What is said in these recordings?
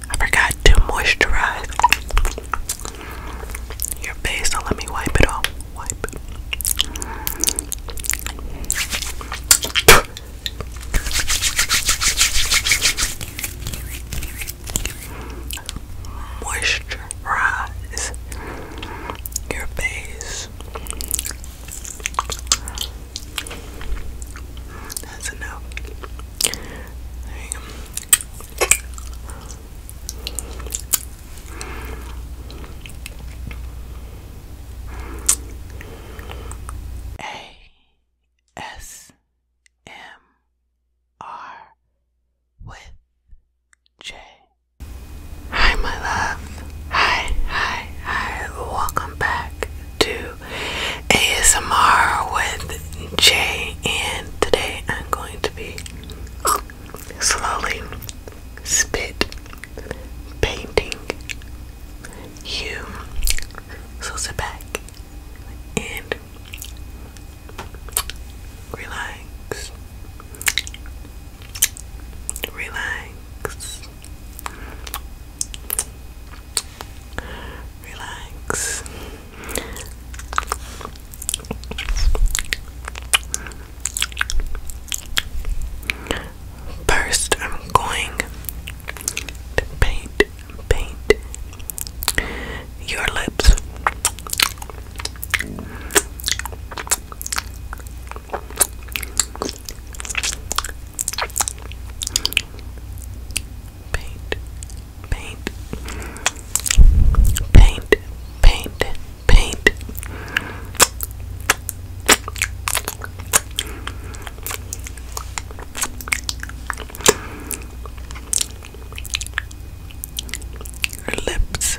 I forgot to moisturize your face, so let me wipe it off. Moisturize your face. That's enough. A S M R with J. Hi, my love. Hi, hi, hi. Welcome back to ASMR with Jay, and today I'm going to be slowly spit painting you. So sit back and relax, relax relax. First, I'm going to paint, paint your lips paint, paint, paint, paint, paint. Her lips.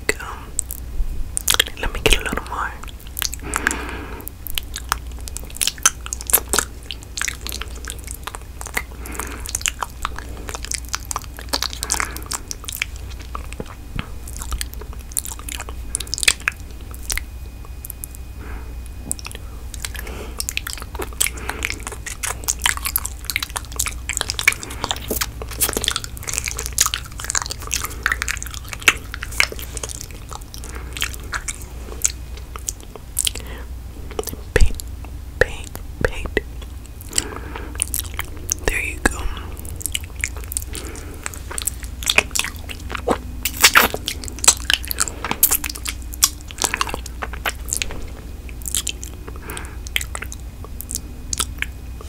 like, um, let me get a little more. Paint, paint, paint. There you go.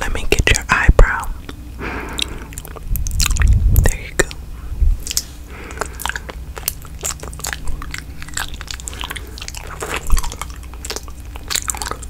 Let me get your eyebrow. There you go.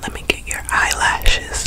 Let me get your eyelashes.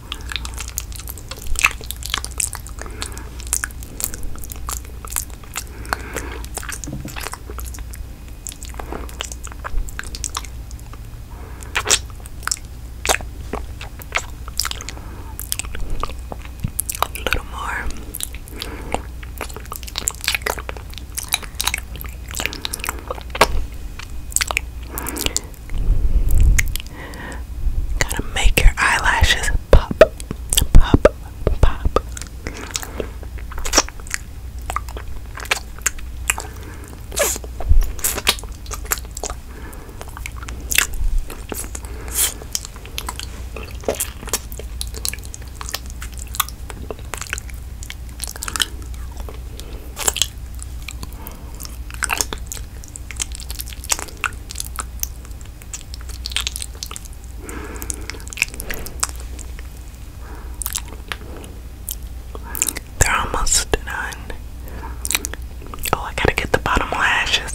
A little more. Gotta make your eyelashes pop, pop, pop. They're almost done. Oh, I gotta get the bottom lashes.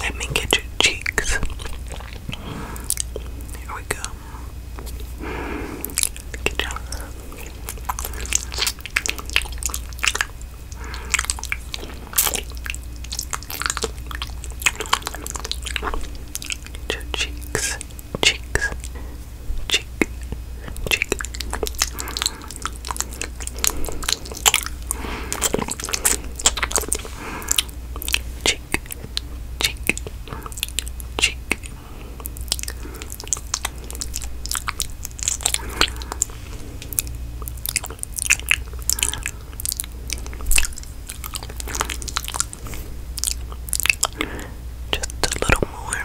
Let me get your cheeks. Here we go. Get your cheeks, cheeks, cheek, cheek. Cheek, cheek, cheek, cheek. Just a little more.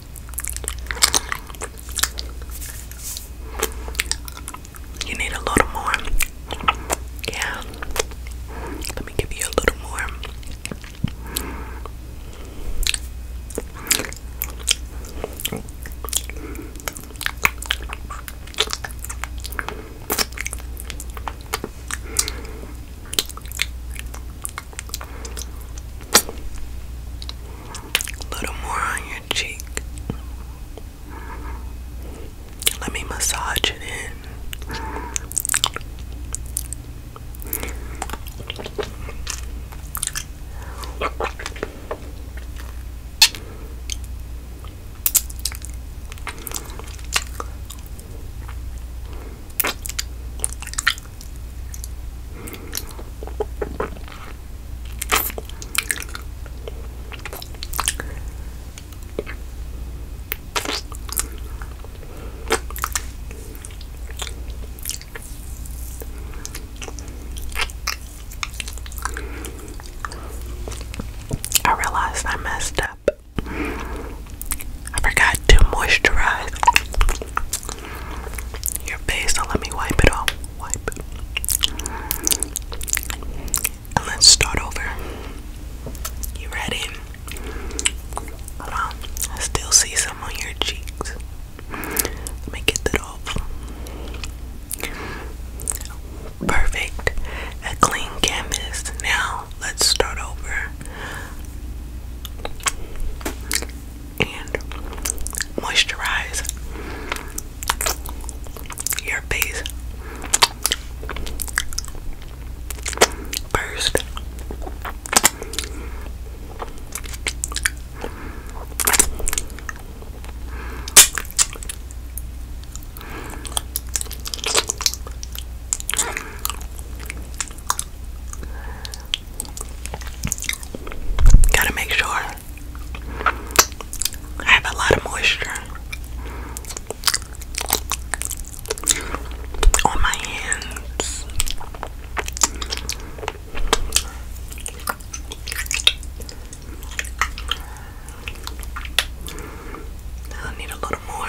You need a little more. Yeah. Let me give you a little more. A little more on your cheek. Let me massage it in. I realized I messed up. I forgot to moisturize your face. let me wipe it off. Wipe. let's start over. You ready? Hold on. I still see some on your cheeks. Let me get that off. Perfect. A clean canvas. Now let's start over and moisturize your face first. Gotta make sure I have a lot of moisture on my hands. I need a little more.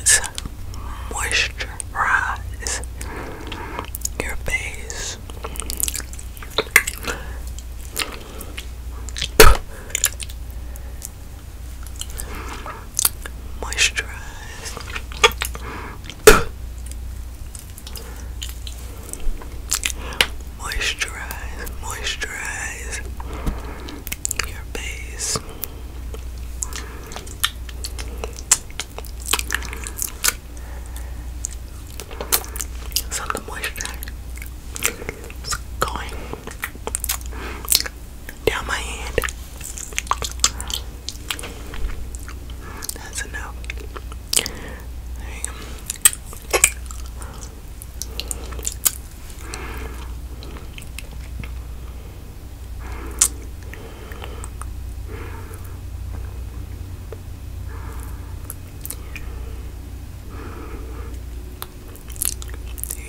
It's moisturize your face. Moisturize moisturize, moisturize your face. So the moisture is going down my hand. That's enough. There you go. There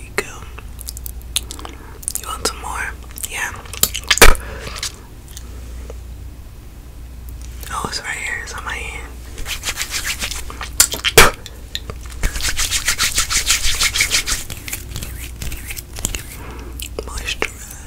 you go. You want some more? Yeah. Oh, it's right here. It's on my hand. Moisturize.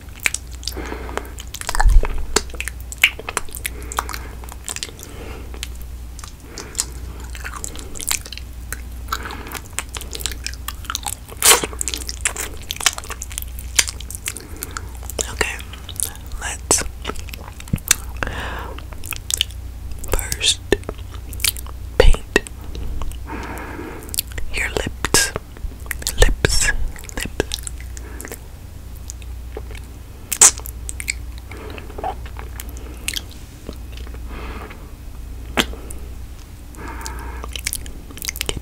Okay, let's first paint your lips lips, lips.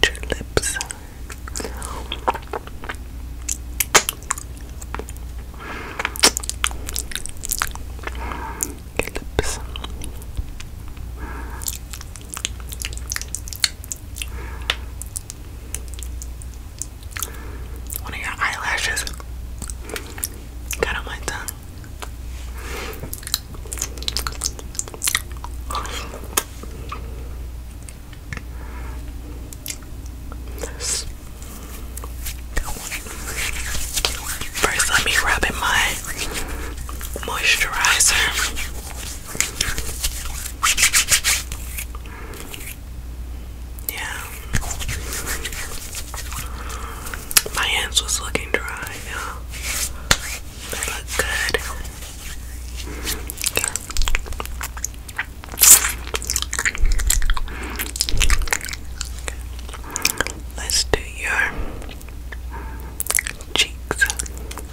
Get your lips. lips. One of your eyelashes got on my tongue. First, let me rub in my moisturizer. Yeah. My hands was looking dry, yeah. They look good. Let's do your cheeks.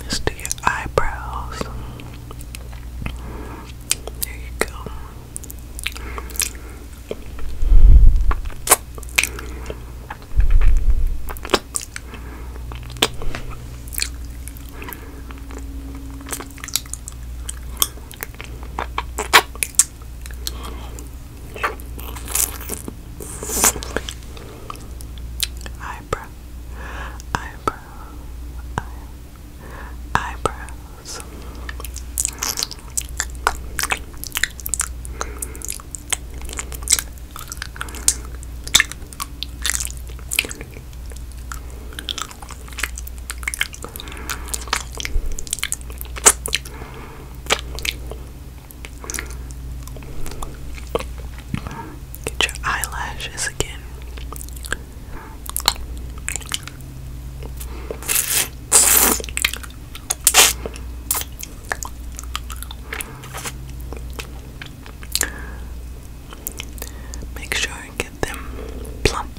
Let's do your eyebrows. There you go. Eyebrow, eyebrow, eye, Get your eyelashes again. Make sure get them plump,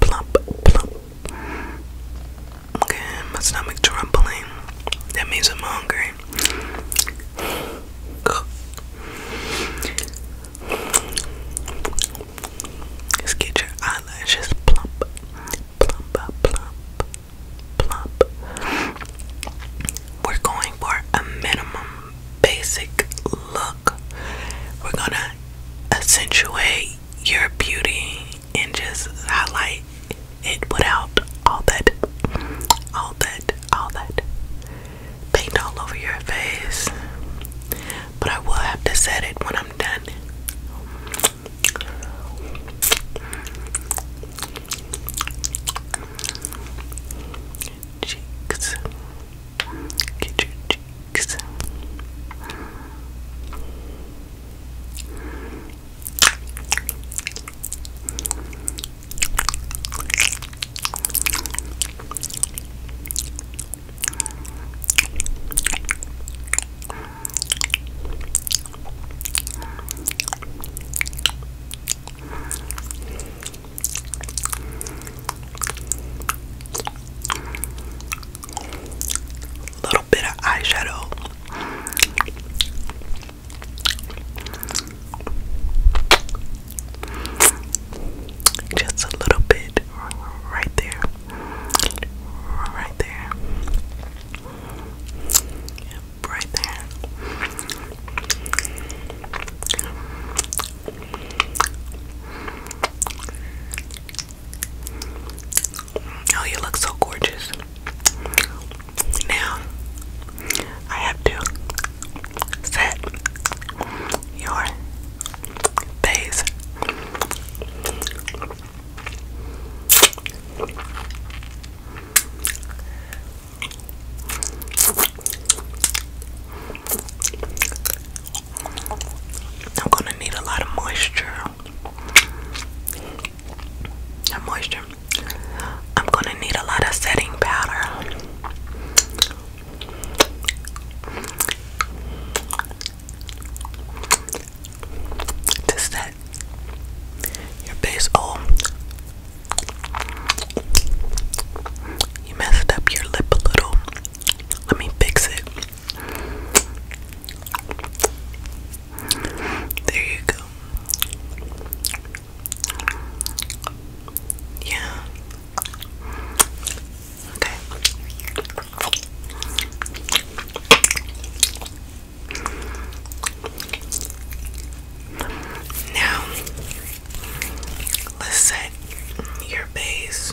plump, plump. Okay, my stomach's rumbling. That means I'm hungry. let get your eyelashes plump, plump, plump, plump. We're going for a minimum basic look. We're gonna accentuate your beauty and just highlight it without all that, all that, all that paint all over your face. But I will have to set it when I'm done. Cheeks. Get your cheeks. Little bit of eyeshadow. Just a little bit right there. Right there. Yep, right there. Oh, you look so gorgeous. Now, I have to set your face. I'm going to need a lot of moisture. That moisture I'm gonna need a lot of setting powder. To set your base. Oh, you messed up your lip a little. Let me fix it. There you go. Yeah. Okay. Now, let's set your base.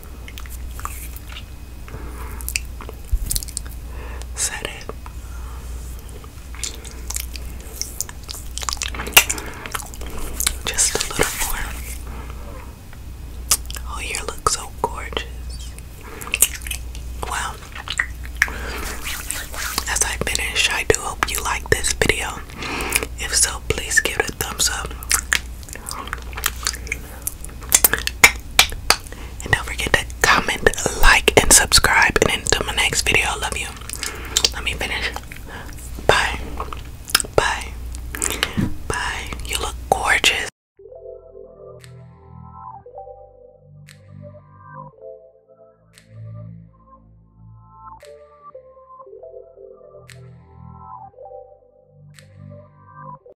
Set it. Just a little more. Oh, you look so gorgeous. Well, as I finish, I do hope you like this video. If so, please give it a thumbs up. And don't forget to comment, like, and subscribe. And until my next video, I love you. Let me finish. Bye. Bye. Bye. You look gorgeous.